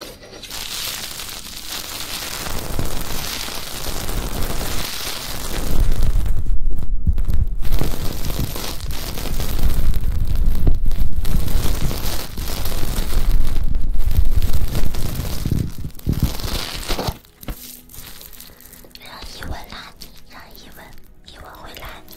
让一文拉你，让一文，一文回拉你。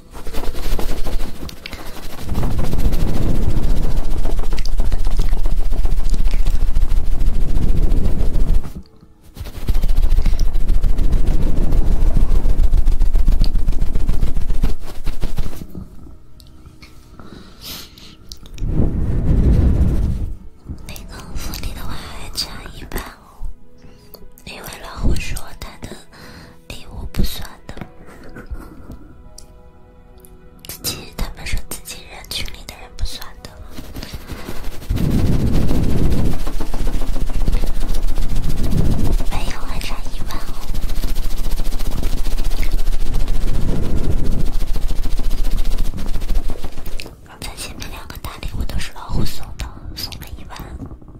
那个福利的话还差一半哦，因为老虎说他的。礼物不算的，自己他们说自己人群里的人不算的，没有还差一万哦。在前面两个大礼物都是老虎送的，送了一万。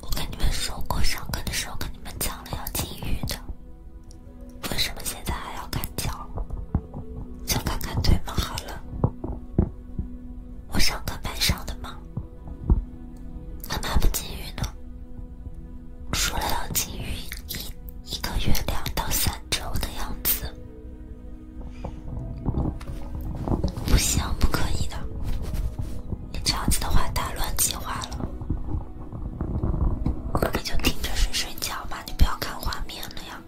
我跟你们说过，上课的时候跟你们讲了要禁欲的，为什么现在还要看脚？想看看腿吗？好了？我上课白上的吗？干嘛不禁欲呢？说了要禁欲一一个月两到三周的样子，不行，不可以的。你这样子的话，打乱计划了。你就听着睡睡觉嘛，你不要看画面了呀。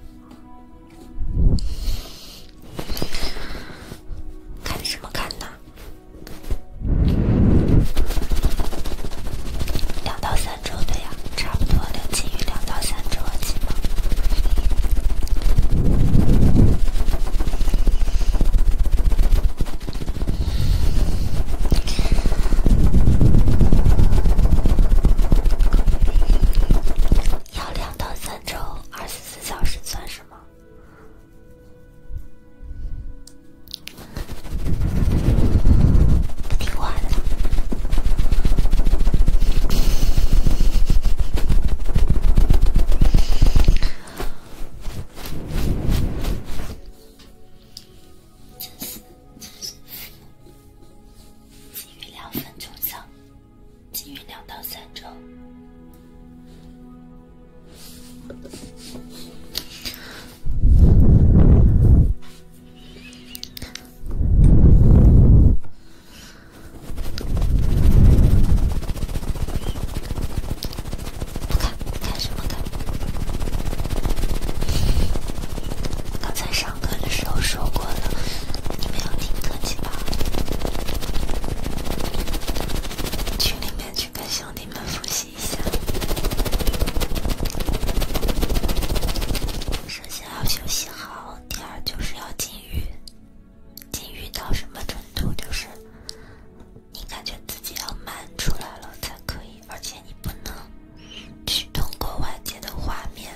看什么看呢？两到三周，对呀，差不多的，基于两到三周，记吗？要两到三周，二十四小时算什么？听话的。真是真是，剩余两分钟整，剩余两到三周。看看什么看？刚才上课的时候说过了，你没有听清吧？群里面去跟兄弟们复习一下。首先要休息好，第二就是要禁欲。禁欲到什么程度？就是。你感觉自己要满出来了才可以，而且你不能去通过外界的画面、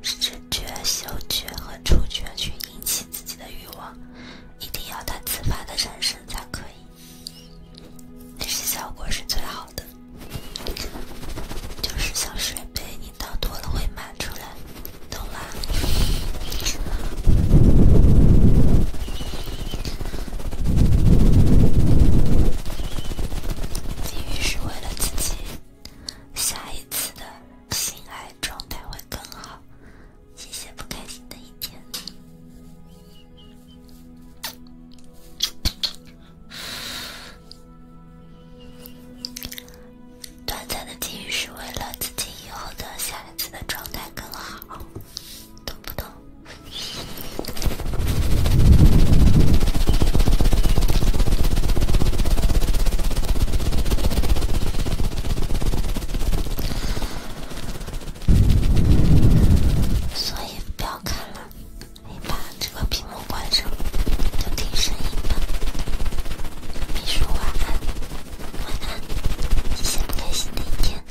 视觉、嗅觉和触觉去引起自己的欲望，一定要它自发的产生才可以，那是效果是最好的。就是像水杯，你倒多了会满出来，懂吗？是为了自己下一次的爱状态会更好，不开心的一天。短暂的是为了自己以后的下。孩子的状态更好，懂不懂？所以不要看了，你把这个屏幕关上，就听声音吧。你说晚安。晚安，你先开心一点。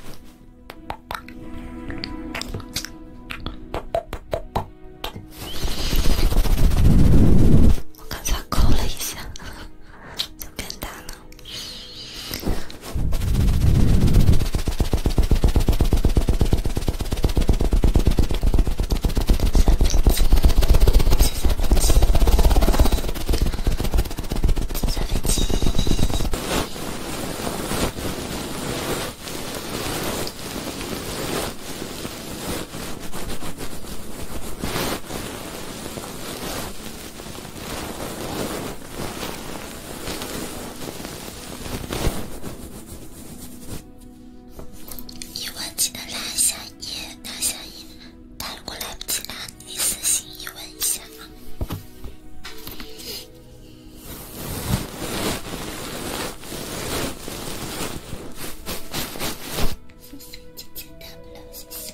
我刚才抠了一下，就变大了。一万，记得拉下页，拉下页，但如果来不及拉。你私信问一下啊。谢谢姐姐的礼物，谢谢。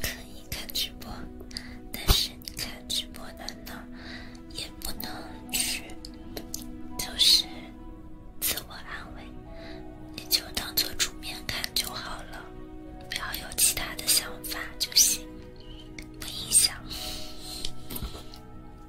可以看直播，但是你看直播难呢，也不能去，就是自我安慰，你就当做主面看就好了，不要有其他的想法就行，不影响。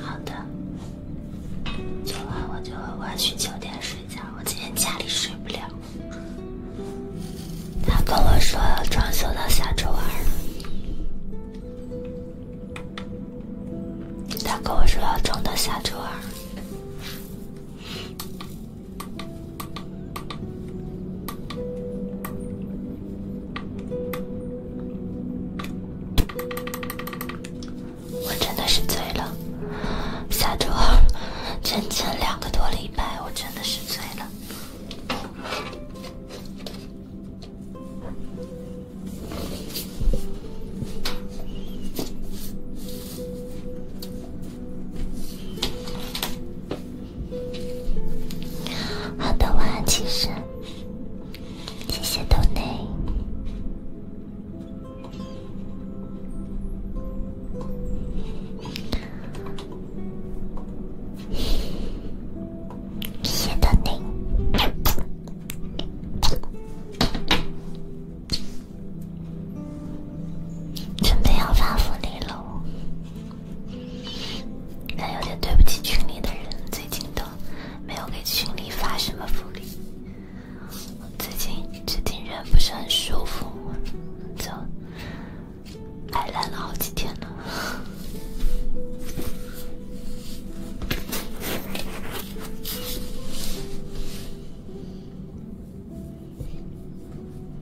好的，昨晚我就我晚去酒店睡觉。我今天家里睡不了。他跟我说要装修到下周二。他跟我说要装到下周二。我真的是醉了，下周二整整两个多礼拜，我真的是醉了。好的，晚安，情深。谢谢豆奶。谢谢豆奶。准备要发福利喽。但有点对不起群里的人，最近都没有给群里发什么福利。最近最近人不是很舒服，就摆烂了好几天了。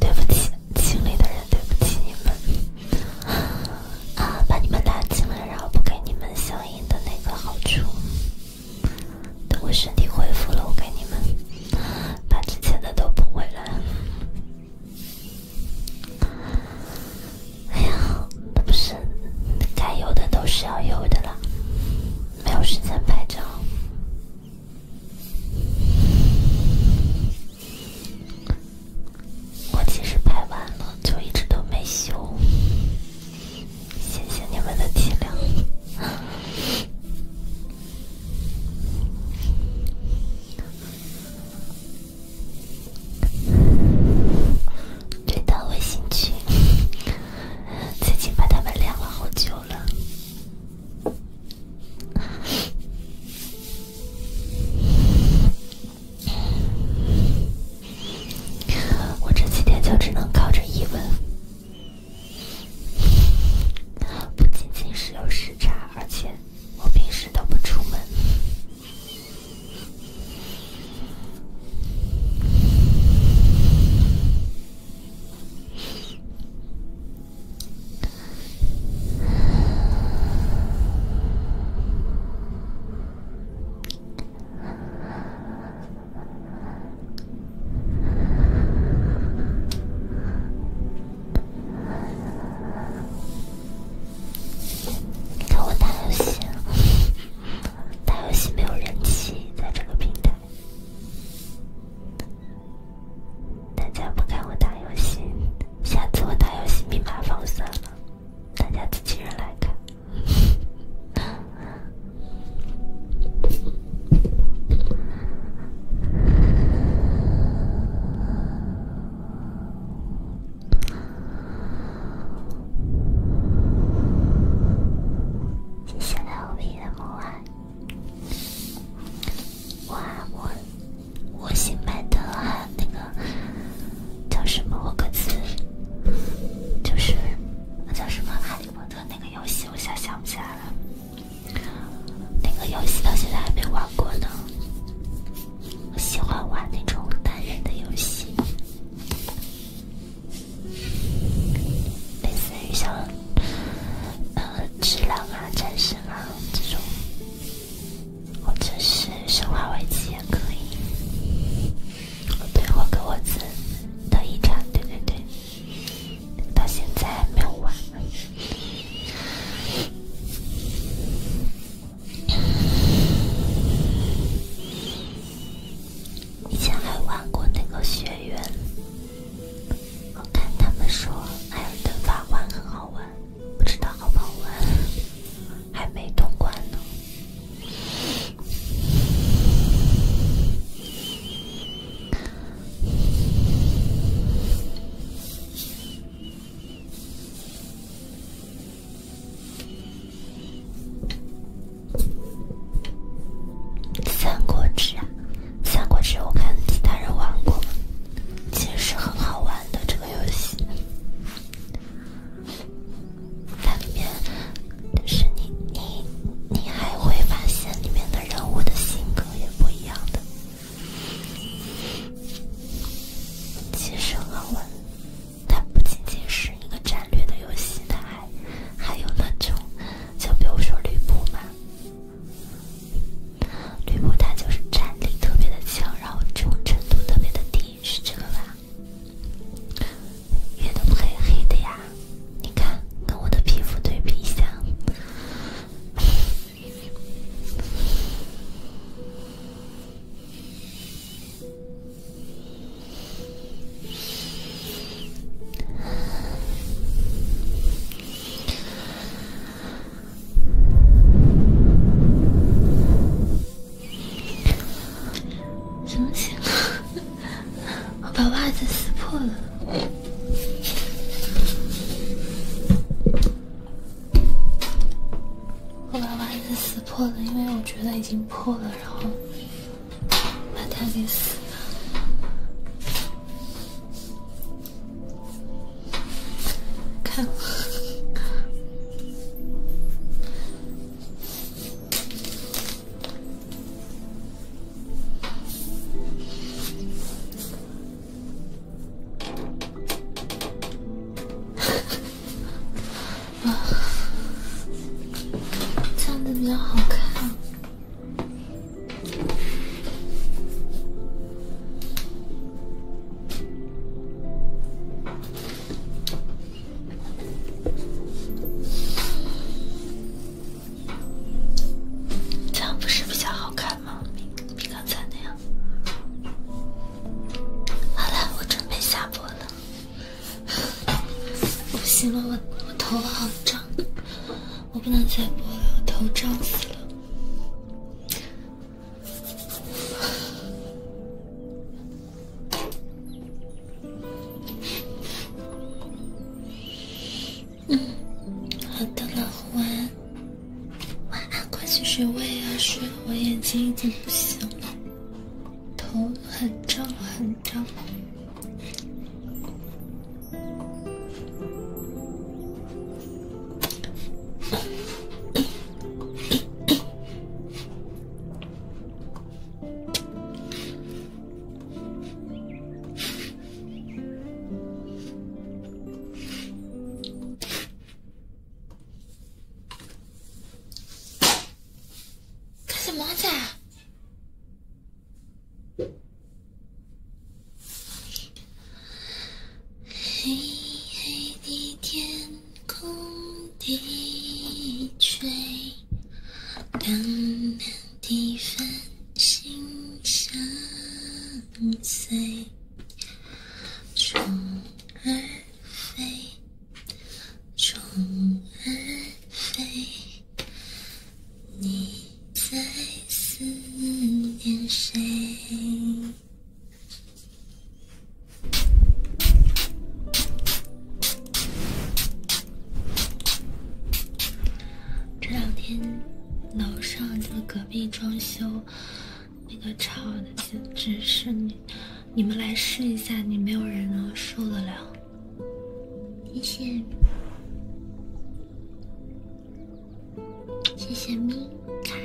对不起。心里的人，对不起你们啊，把你们拉进来，然后不给你们相应的那个好处。等我身体恢复了，我给你们把之前的都补回来。哎呀，那不是该有的都是要有的啦。没有时间拍照。我其实拍完了，就一直都没修。谢谢你们的体谅。对，到微信群，最近把他们晾了好久了。我这几天就只能靠着疑问，不仅仅是有时差，而且我平时都不出门。跟我打游戏，打游戏没有人气，在这个平台。大家不看我打游戏，下次我打游戏密码放算了，大家自己人来看。接下来我闭眼，晚安，晚安，我。我新买的那个叫什么？我个词就是那叫什么《哈利波特》那个游戏，我一下想不起来了。那个游戏到现在还没玩过呢。我喜欢玩那种单人的游戏，类似于像呃《只狼》啊、《战神》啊这种。或者是《生化危机》也可以。对，我给我自己的一产，对对对，到现在还没有玩。以前还玩过那个《雪原》，我看他们说还有《的法环》很好玩。不知道好不好玩，还没通关呢。《三国志》啊。三国志我看其他人玩过，其实是很好玩的这个游戏。它里面是你你你还会发现里面的人物的性格也不一样的，其实很好玩。它不仅仅是一个战略的游戏，它还还有那种，就比如说吕布嘛。吕布他就是战力特别的强，然后忠诚度特别的低，是这个吧？也都不黑黑的呀，你看，跟我的皮肤对比一下。什么情况？我把袜子撕破了。我把袜子撕破了，因为我觉得已经破了，然后把它给撕了。看，啊，这样子比较好看。这样不是比较好看吗？比刚才那样。好了，我准备下播了。不行了，我我头发好胀。我不能再播了，我头胀死了。嗯，好的，老胡，晚安，快去睡，我也要睡，我眼睛已经不行了，头很胀，很胀。干什么在？黑黑的天空低垂，冷冷的繁星相随，虫儿飞，虫儿飞，你。在思念谁？这两天楼上就隔壁装修，那个吵的简直是你，你们来试一下，你没有人能受得了。谢谢。谢谢咪开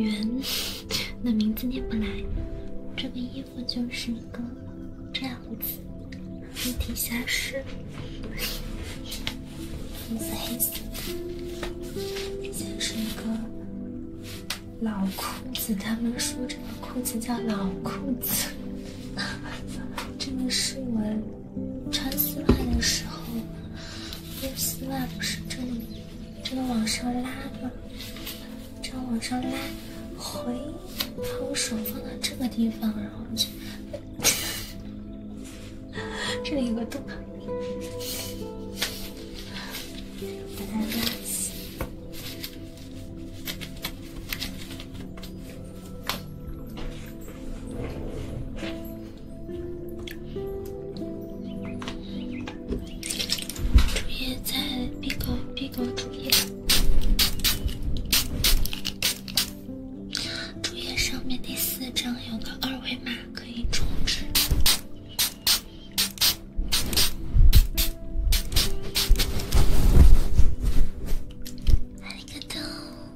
元，那名字念不来。这个衣服就是一个这样子，然后底下是黑色黑色，先是一个老裤子。他们说这个裤子叫老裤子，这个是我。穿丝袜的时候，穿丝袜不是这里，这个往上拉吗？这样往上拉，回，把我手放到这个地方，然后就，这里有个洞。主页在 B 稿 B 稿主页，主页上面第四张有个二维码可以充值。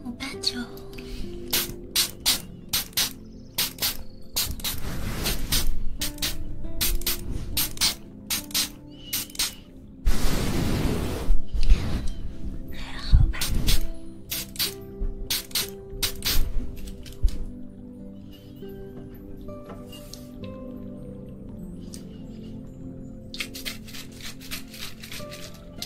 五八九，还好吧？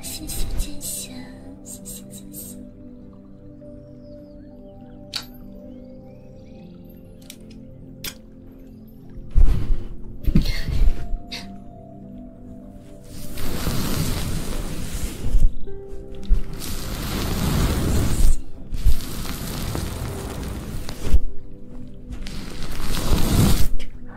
谢谢剑仙，谢谢剑仙。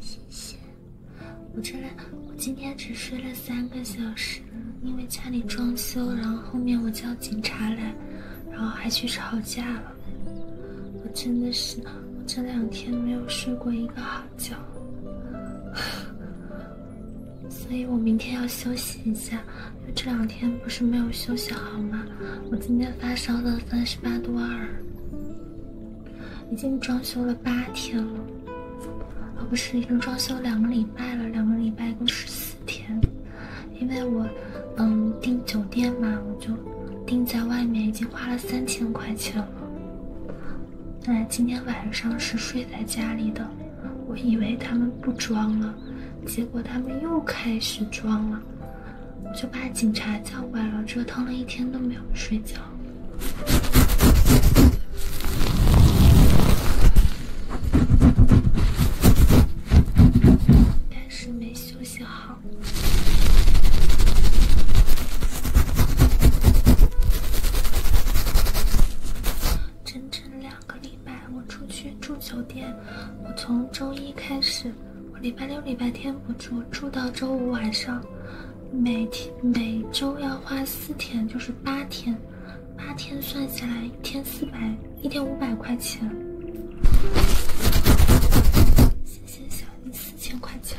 谢谢。我这来，我今天只睡了三个小时，因为家里装修，然后后面我叫警察来。然后还去吵架了，我真的是，我这两天没有睡过一个好觉，所以我明天要休息一下，这两天不是没有休息好吗？我今天发烧了三十八度二，已经装修了八天了，哦不是，已经装修两个礼拜了，两个礼拜一共十四天。因为我，嗯，订酒店嘛，我就订在外面，已经花了三千块钱了。哎，今天晚上是睡在家里的，我以为他们不装了，结果他们又开始装了，我就把警察叫过来了，折腾了一天都没有睡觉，但是没休息好。整整两个礼拜，我出去住酒店。我从周一开始，我礼拜六、礼拜天不住，住到周五晚上。每天每周要花四天，就是八天。八天算下来，一天四百。一天五百块钱，谢谢小林四千块钱。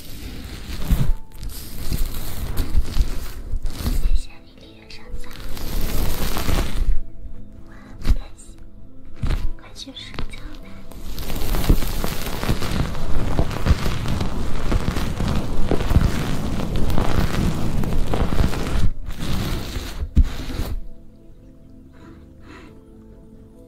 谢谢你，李远山。晚安，不开心，快去睡觉吧。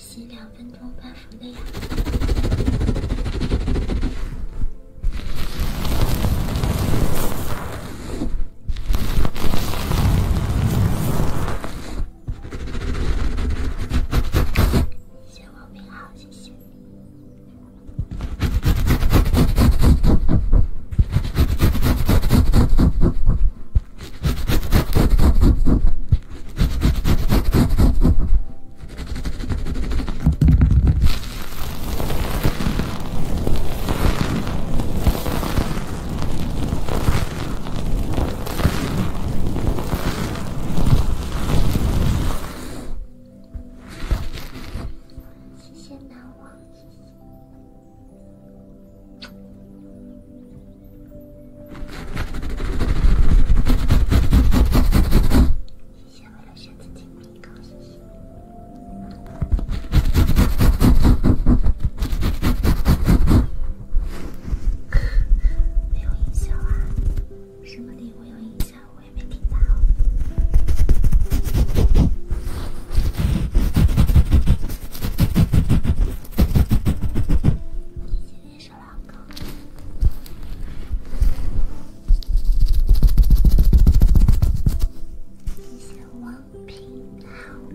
洗两分钟半福的呀，谢谢王明浩，谢谢。谢谢南王，谢接下来想自己提高没有音效啊？什么礼物有音效？我也没听到。谢谢王哥，王平，好。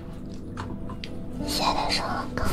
现在上高。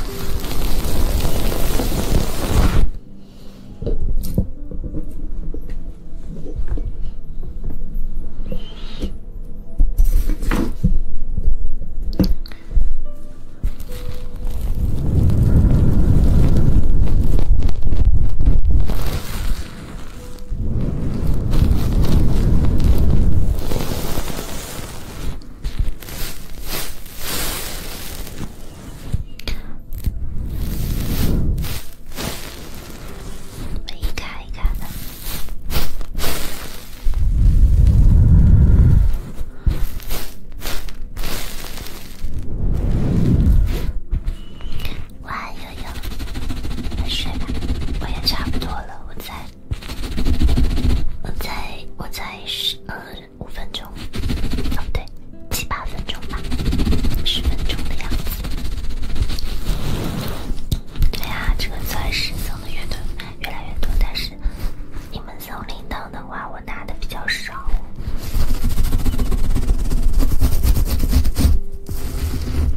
我一卡一卡的。晚安悠悠，快睡吧，我也差不多了，我在。我才我才十呃五分钟，哦对，七八分钟吧，十分钟的样子。对啊，这个钻石送的越多越来越多，但是你们送铃铛的话，我拿的比较少。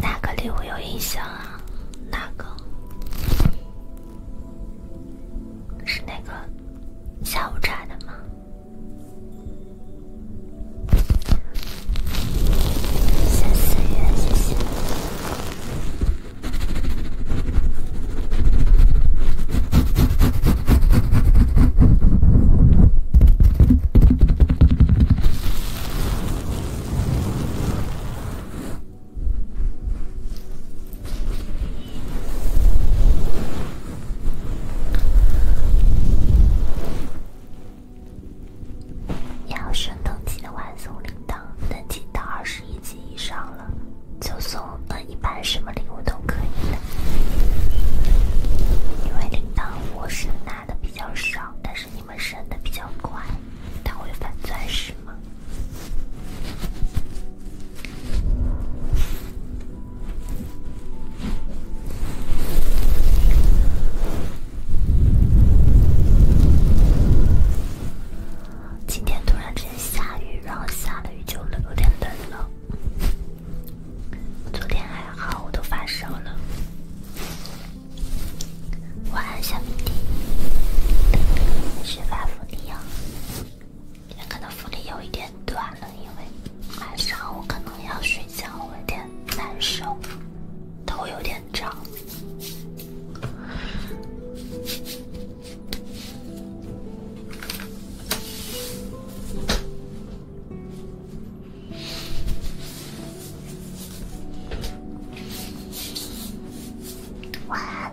哪个礼物有印象啊？哪个？是哪个？下午茶的吗？谢谢，谢谢。要升等级的话送铃铛，等级到二十一级以上了，就送那一般什么礼物都可以的。因为铃铛我是拿的比较少，但是你们升的比较快，它会反钻石嘛。今天突然之间下雨，然后下了雨就冷，有点冷了。昨天还好，我都发烧了。晚安，小迷弟，十八伏你可能福利有一点短了，因为晚上我可能要睡觉，有点难受，头有点涨。晚安。